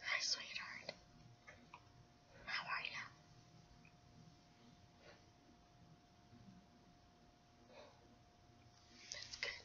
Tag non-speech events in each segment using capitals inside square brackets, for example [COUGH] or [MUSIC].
Hi, sweetheart. How are you? That's good.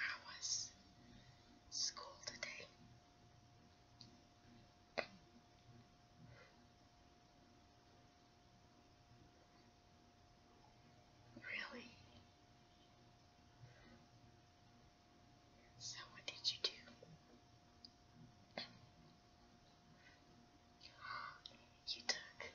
How was school today? Really? So, what did you do? You took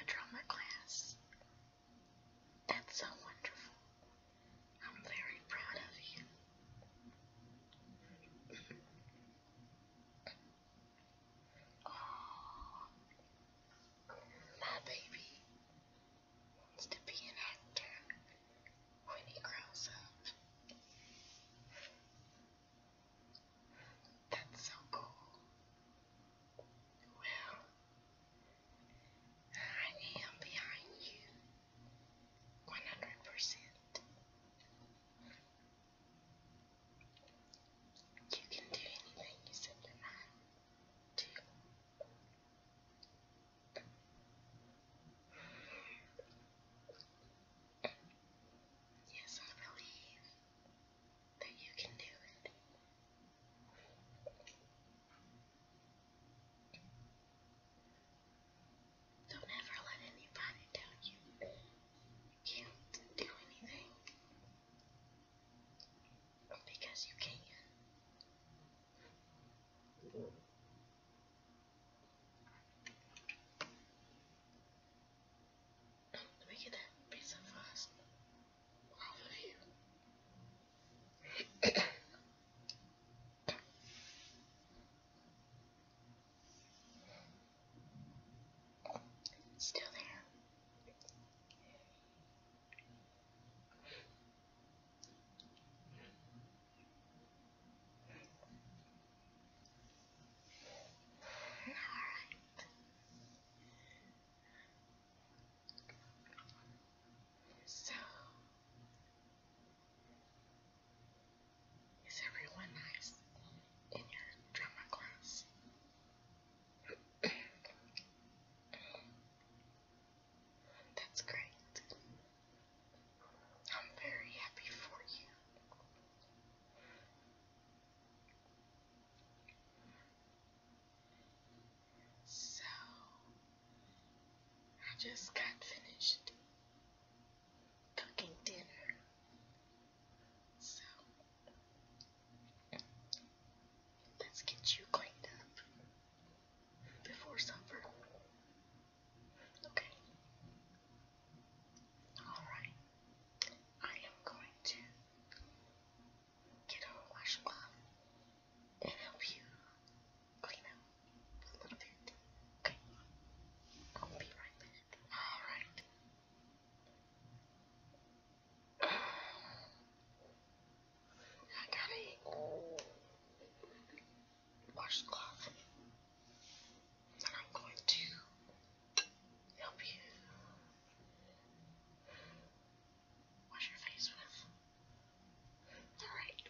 a drama class. That's so wonderful. I'm very proud of you. oh, my baby wants to be an actor when he grows up. That's so cool. Well, I am behind you 100%. You can do anything you set your mind to. Yes, I believe that you can do it. Don't ever let anybody tell you you can't do anything because you can. Let me get that pizza first. Off of you. Still there. Alright. So, is everyone nice in your drama class? That's great. I'm very happy for you. So, I just got finished cooking dinner. So, let's get you cleaned up before supper. Okay. Alright. I am going to get a washcloth and help you clean up a little bit. Okay. I'll be right back. Alright. [SIGHS] I got it washcloth. And I'm going to help you wash your face with. Alright.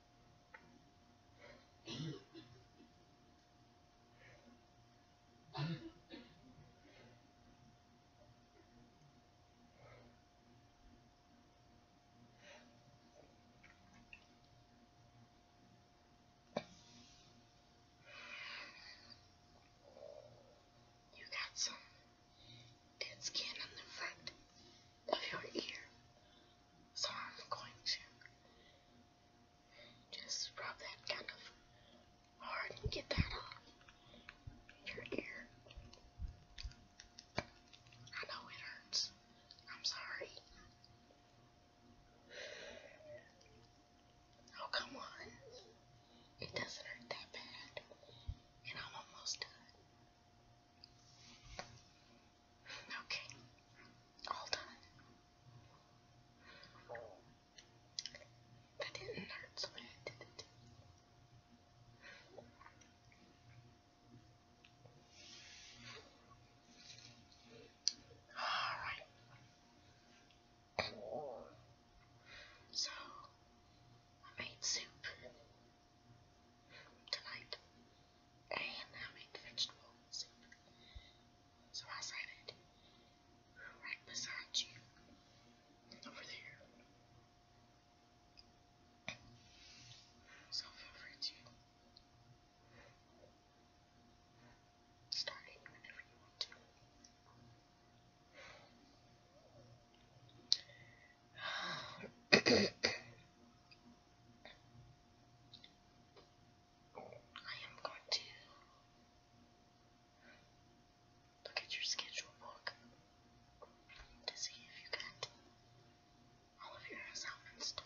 You got some dead skin on the front of your ear. So I'm going to just rub that kind of hard and get that off your ear. I know it hurts. I'm sorry. Oh, come on. It doesn't hurt that bad. And I'm almost done. Okay, all done. That didn't hurt so when did it. Alright. So, I made soup tonight, and I made vegetable soup. So I sat it right beside you, over there. So feel free to whenever you want to. I am going to look at your schedule book to see if you got all of your assignments done.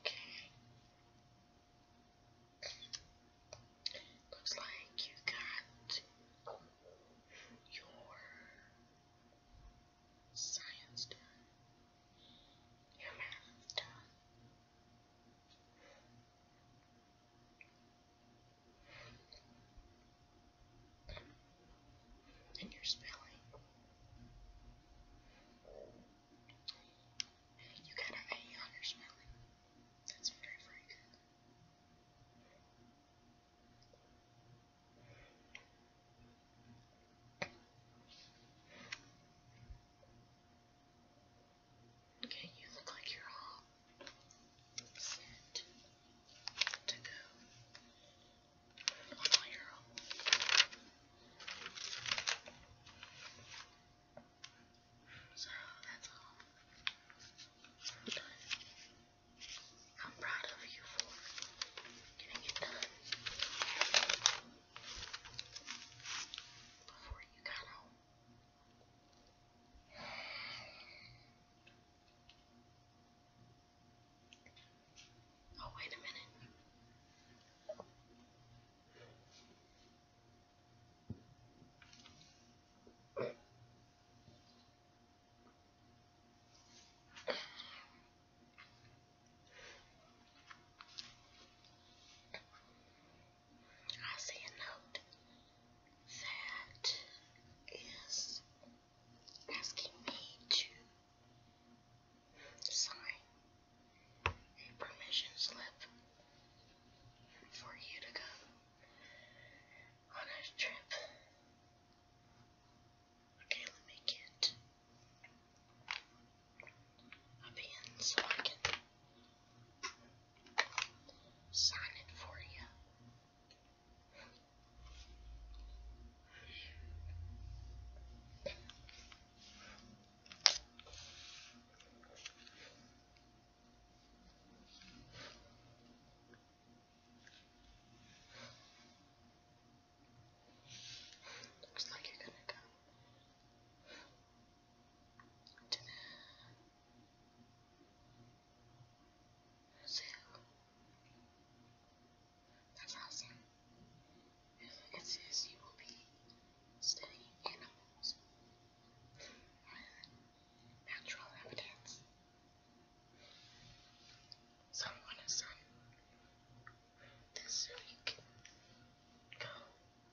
Okay. Looks like you got your science done, your math done and your spelling. You got an A on your spelling. That's very, very Okay, you look like you're all sent to go on your own. So that's all. I'm done. I'm proud of you for getting it done before you got home. Oh, wait a minute. I see a note that is asking me to sign a permission slip for you to go on a trip. Okay, let me get a pen so I can sign it for you. Looks like you're gonna go to the Brazil. That's awesome. If I you will be studying animals natural evidence. Someone has this so you can go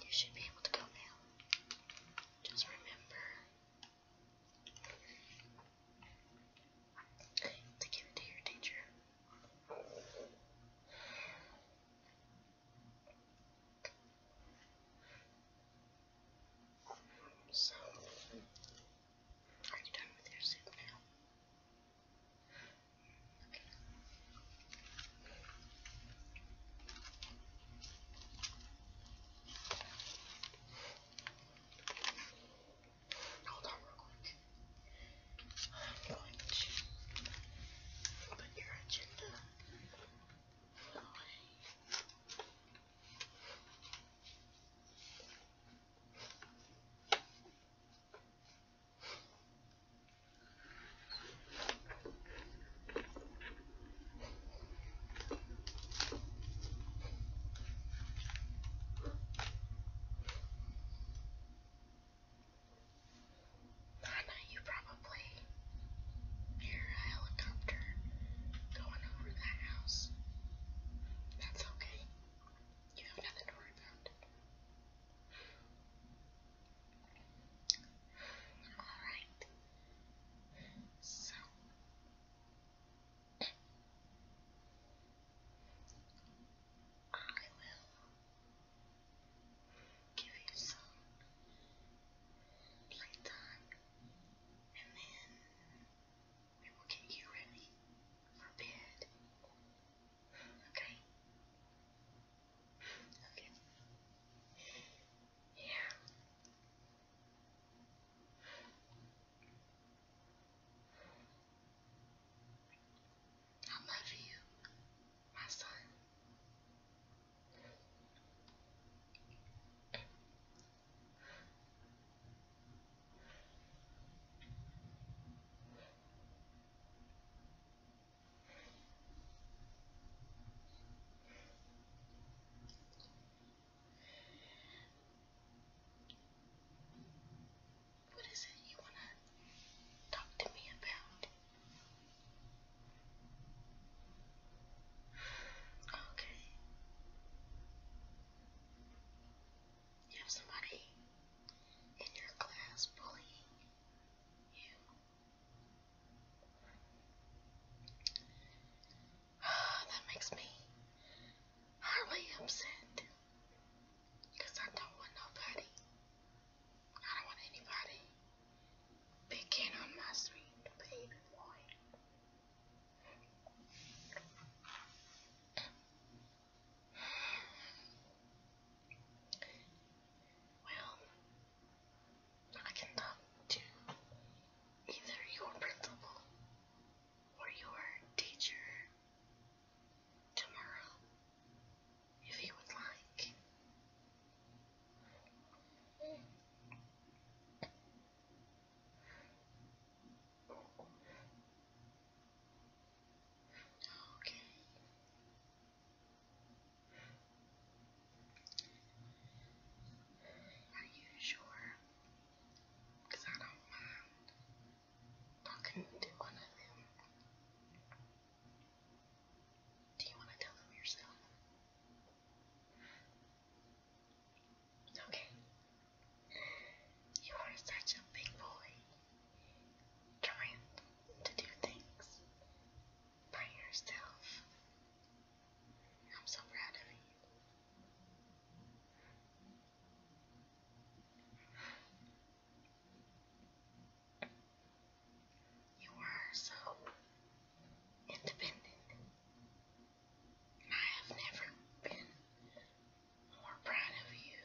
You should be able to go now. Just remember to give to your teacher. So, are you done with your soup now? Okay. Hold on real quick. I'm going to put your agenda away. Anna, you probably hear a helicopter going over the house. That's okay. You have nothing to worry about. Alright. So. I will give you some playtime and then People can hear me for bed. Okay. Okay. Yeah. I love you, my son. What is it you want to talk to me about? Okay. You have somebody in your class bullying you. [SIGHS] that makes me hardly upset. Because I don't want nobody. I don't want anybody picking on my baby boy. Well, I cannot do either your principal or your teacher tomorrow if you would like. Okay. Are you sure? I don't mind talking to one of them. Do you want to tell them yourself? Okay. You are such a big boy. Trying to do things by yourself. I'm so proud of you. You are so independent. I have never been more proud of you.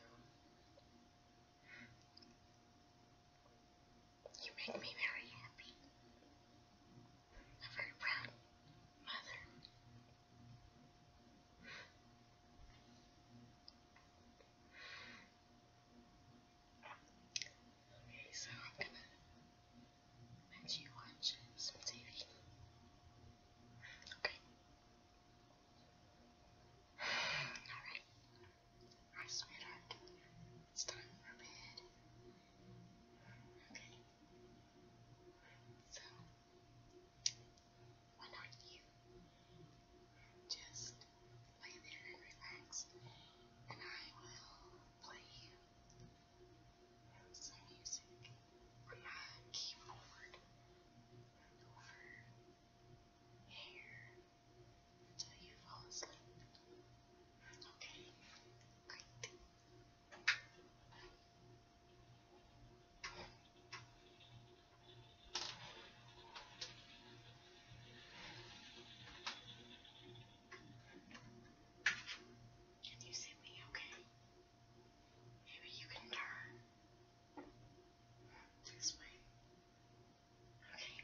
You make me very happy. A very proud mother. Okay, so I'm gonna and you watch some TV. Okay. Alright. Alright, sweetheart. It's time for bed. Okay. So, why not you just lay there and relax, and I will play you and some music on my keyboard and over here until you fall asleep. Okay, great. Can you see me okay? Maybe you can turn this way. Okay. Okay.